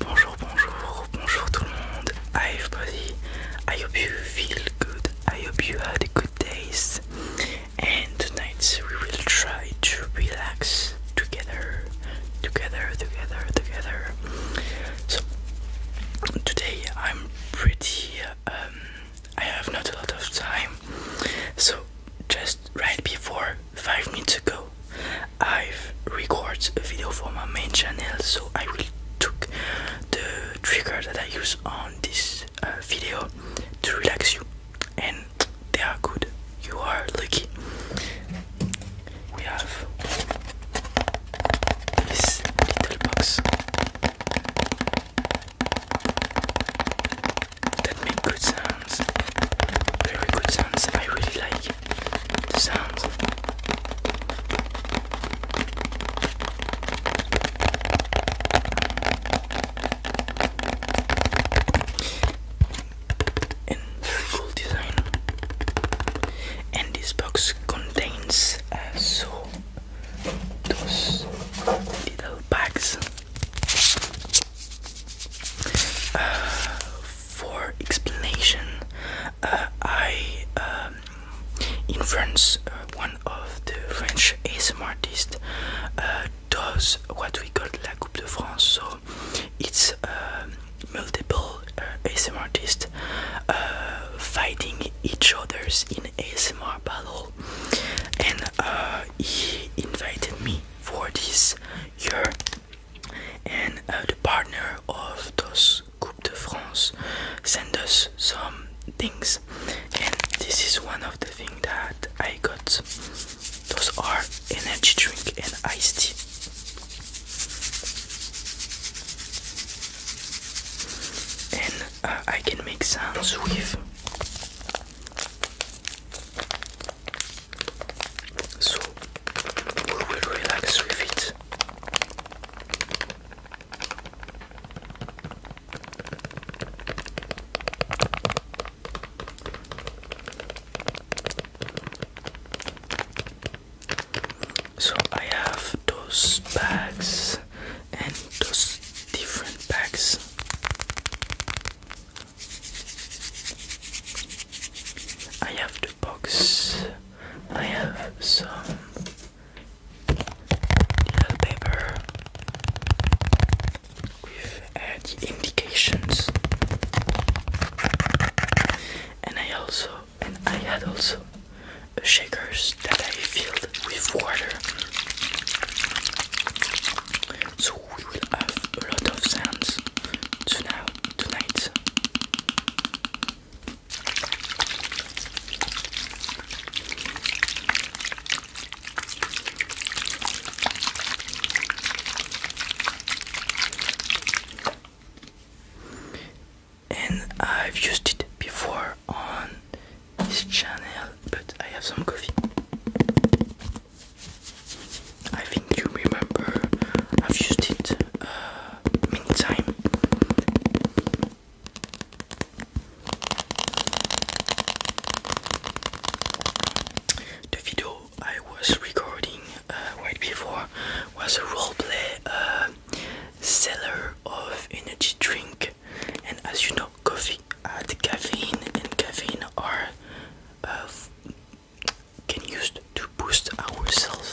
Bonjour, bonjour, bonjour tout le monde. Hi everybody. I hope you feel good. I hope you had good days. And tonight we will try to relax together, together, together, together. So today I'm pretty. Um, I have not a lot of time, so just right before five minutes ago I've recorded a video for my main channel so I will took the trigger that I use on this uh, video to relax you and they are good you are lucky we have this little box that make good sounds very good sounds I really like it the sounds. And very design. And this box contains uh, so those little bags for explanation, uh, I um, in France, uh, one of the French ASMR artist uh, does what we call La Coupe de France. So it's um, multiple ASMR artist fighting each other's in ASMR battle, and he invited me for this year and uh, the partner of those Coupe de France sent us some things, and this is one of the things that I got. Those are energy drink and iced tea. And uh, I can make sounds with so we will relax with it. So I have those bags and those different bags. I have the box. I have some little paper with indications, and I also and I had also shakers that I filled with water. So we will have a lot of sounds tonight. And I've used it before on this channel, but I have some coffee. I think you remember I've used it uh, many The video I was recording uh, right before was a roleplay uh, seller of energy drink, and as you know, coffee had uh, caffeine, and caffeine are uh, can use to boost ourselves.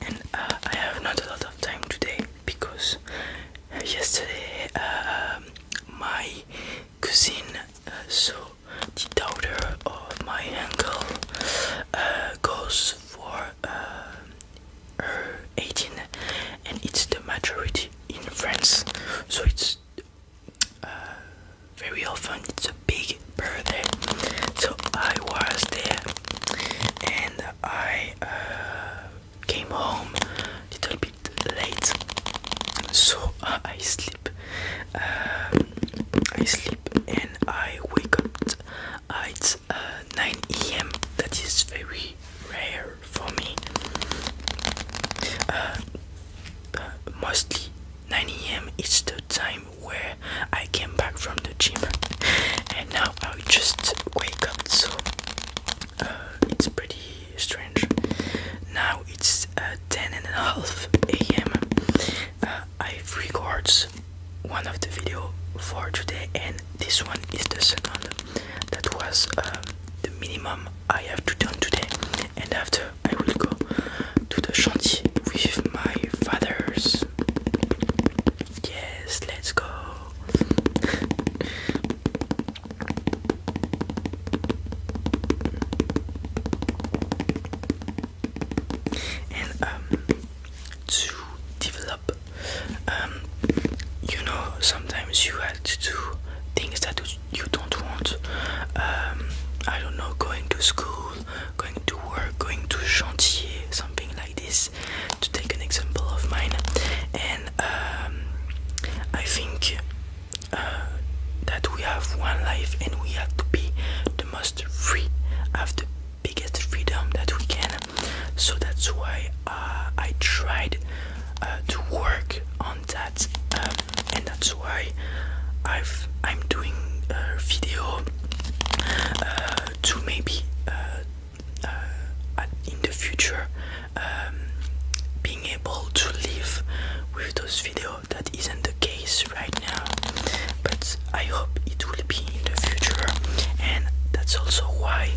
And uh, I have not a lot of time today because uh, yesterday uh, um, my cousin, uh, so the daughter of my uncle, goes for her 18, and it's the majority in France, so it's uh, very often it's a big birthday so I was there and I uh, came home a little bit late so uh, I sleep I sleep and I wake up It's 9 a.m. that is very rare for me mostly 9 a.m. is the time where I came back from the gym and now I just wake up so uh, it's pretty strange now it's uh, 10 and a half a.m. Uh, I've recorded one of the video for today and this one is the second that was um, the minimum I have to done today and after I will go to the chantier with my fathers. Yes, let's go. and um, to develop, um, you know, sometimes you have to do things that do you don't want um, I don't know going to school going to work going to chantier something like this to take an example of mine and um, I think uh, that we have one life and we have to be the most free have the biggest freedom that we can so that's why uh, I tried uh, to work on on that um, and that's why I've I'm doing a video uh, to maybe uh, uh, in the future um, being able to live with those videos that isn't the case right now but I hope it will be in the future and that's also why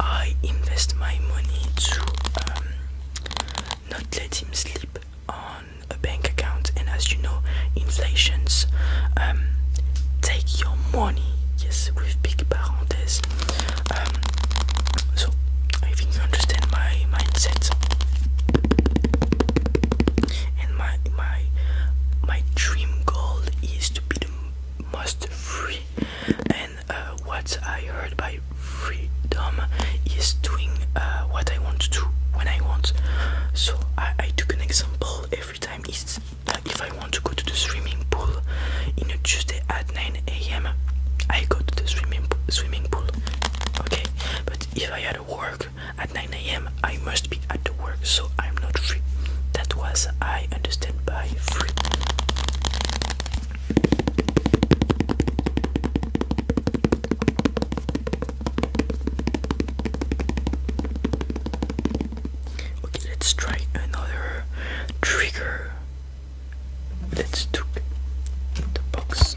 I invest my money to um, not let him sleep on a bank account and as you know inflations um, take your money yes with big parentheses um, so I think you understand my mindset and my my my dream goal is to be the most free and uh, what I heard by my freedom is doing uh, what I want to do when I want. So I, took an example every time. It's if I want to go to the swimming pool in a Tuesday at 9 a.m. I go to the swimming swimming pool. Okay, but if I had to work at 9 a.m., I must be at the work, so I'm not free. That was I understand by free. Okay, let's try another trigger. Let's do the box.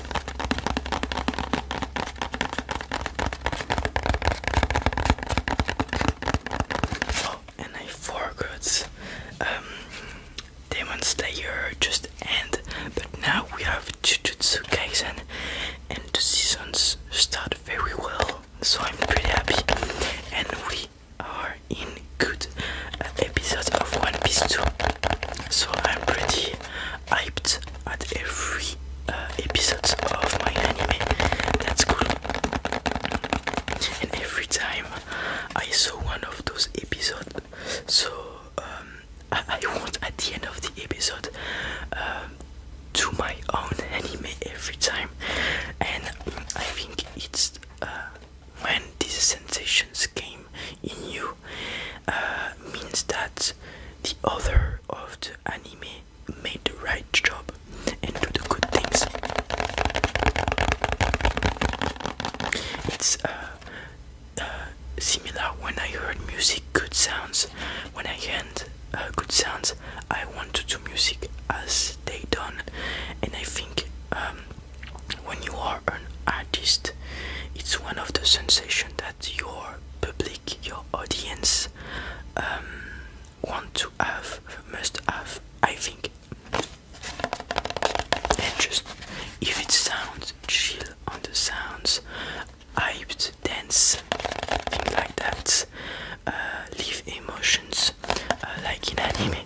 Oh, and I forgot um, Demon Slayer just end, but now we have Jujutsu and and the seasons start very well, so I'm pretty happy, and we are in good episode of One Piece 2. So I'm pretty hyped at every uh, episode of my anime. That's cool. And every time I saw one of those episodes, so um, I, want at the end of the episode to um, my own anime every time, and I think it's uh, when these sensations came in you uh, means that the author of the anime made the right job and did the good things. It's uh, uh, similar when I heard music, good sounds. When I heard good sounds, I want to do music as they done, and I think um, when you are an artist, it's one of the sensations that your public, your audience um, want to have, must have, I think. And just if it sounds chill on the sounds, hyped, dance, things like that, uh, leave emotions uh, like in anime.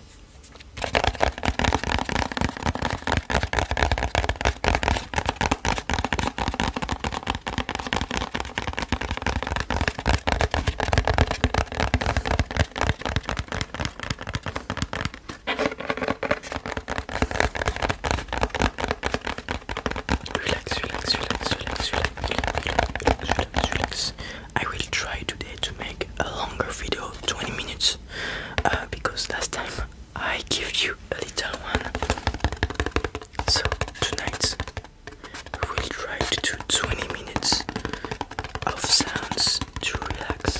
Relax, relax, relax, relax, relax, relax, relax, relax. I will try today to make a longer video, 20 minutes, uh, because last time I gave you a little one. So tonight we will try to do 20 minutes of sounds to relax.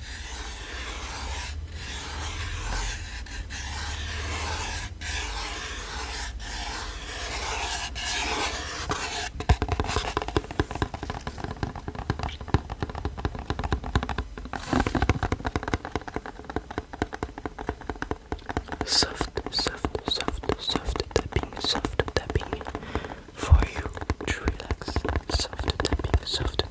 Soft, soft, soft, soft tapping, soft tapping for you to relax. Soft tapping, soft tapping.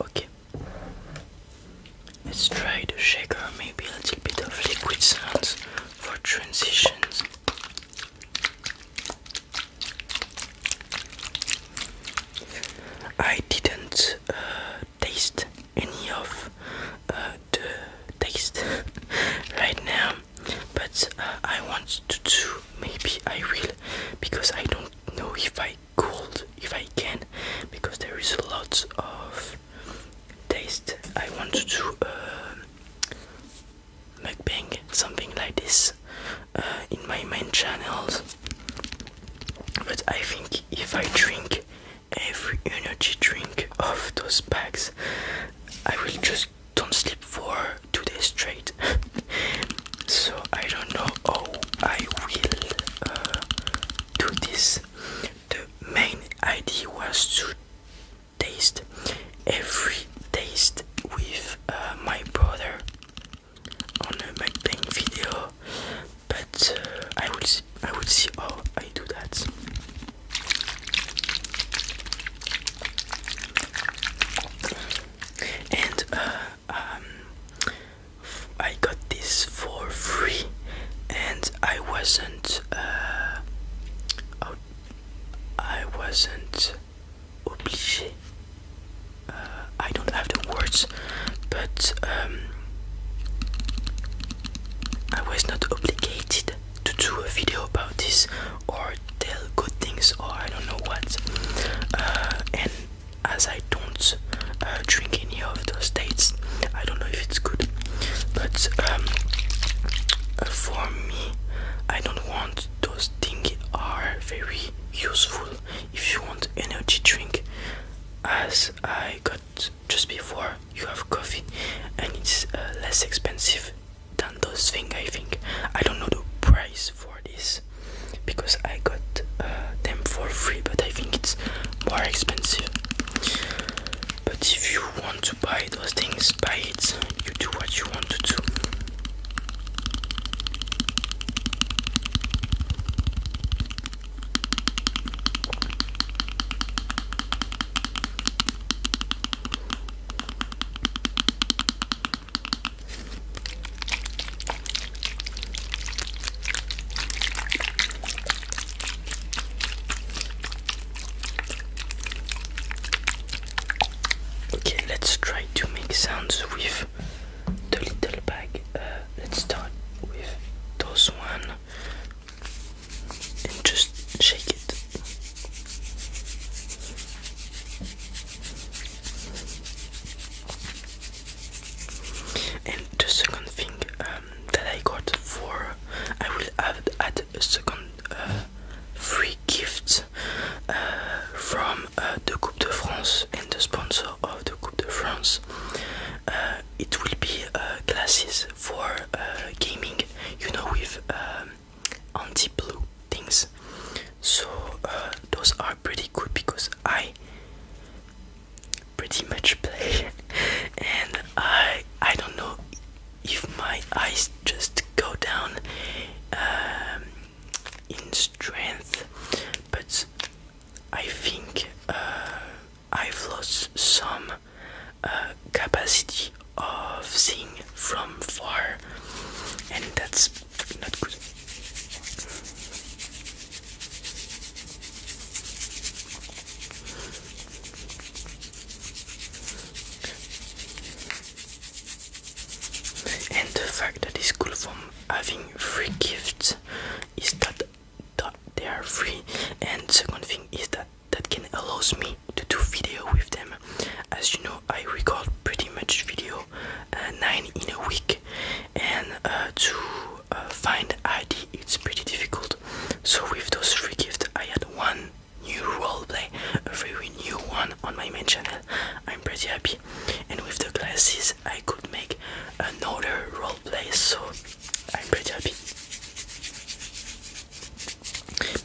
Okay. Let's try the shaker, maybe a little bit of liquid sounds for transitions. I didn't uh, taste any of uh, the taste right now, but uh, I want to do. Maybe I will, because I don't know if I Cold, if I can because there is lots of taste I want to do uh, something like this uh, in my main channels but I think if I drink every energy drink of those packs I will just don't sleep for two days straight so I don't know how I will uh, do this. The main idea was to taste every taste with uh, my brother on a MacBang video, but uh, I will I will see how I do that and uh, um, I got this for free, and I wasn't. Uh, I wasn't obligé. Uh, I don't have the words, but um, I was not obligated to do a video about this or tell good things or I don't know what. Uh, and as I don't uh, drink any of those dates. I don't know if it's good, but um, uh, for me, I don't want those things are very useful. If you want energy drink, as I got just before, you have coffee, and it's uh, less expensive than those things. I think I don't know the price for this because I got uh, them for free, but I think it's more expensive. But if you want to buy those things, buy it. You do what you want to do. Okay, let's try to make sounds with the little bag. Uh, let's start with those one and just shake it. And the second thing um, that I got for I will add, a second uh, free gift uh, from uh, the Coupe de France and the sponsor of the Coupe de France. it will be glasses for gaming, you know, with um, anti-blue things so uh, those are pretty good because I pretty much play and I I don't know if my eyes just go down um, in strength but I think uh, I've lost some uh, capacity of seeing from far and that's and the fact that it's cool from having free gifts is that they are free. And second thing is that that can allows me to do video with them. As you know, I record pretty much video uh, nine in a week, and uh, to uh, find ID it's pretty difficult. So with those free gifts, I had one new role play, a very new one on my main channel. I'm pretty happy, and with the glasses, I could make another role play. So I'm pretty happy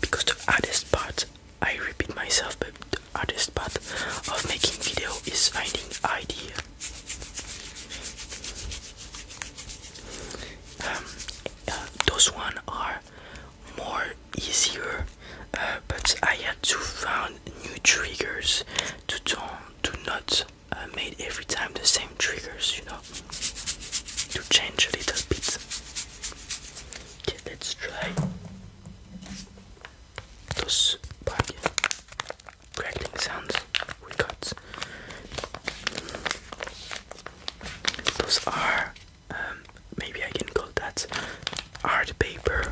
because the hardest part I repeat myself, but the hardest part of making video is finding idea. Um, uh, those one are more easier, uh, but I had to found new triggers to don't to not uh, make every time the same triggers, you know, to change a little bit. Okay, let's try those bargain sounds we got. Those are, um, maybe I can call that art paper.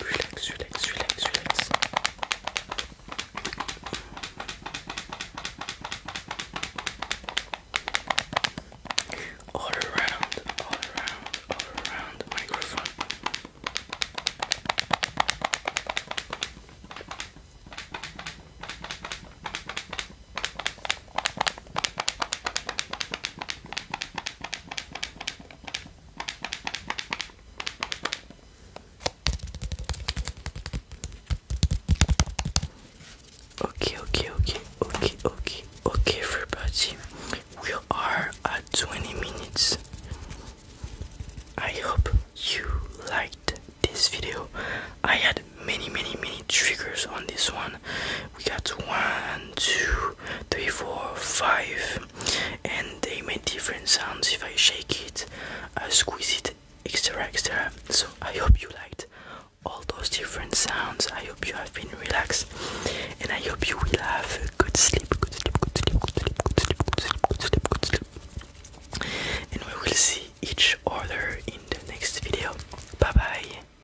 Relax, relax, relax, relax. All around, all around, all around microphone. Okay, okay, okay, okay, okay, okay, everybody. We are at 20 minutes. I hope you liked this video. I had many, many, many triggers on this one down. We got one, two, three, four, five, and they make different sounds if I shake it, I squeeze it, etc. etc. So I hope you liked all those different sounds. I hope you have been relaxed, and I hope you will have a good sleep. Good sleep. Good sleep. Good sleep. Good sleep. Good sleep. Good sleep. Good sleep. And we will see each other in the next video. Bye bye.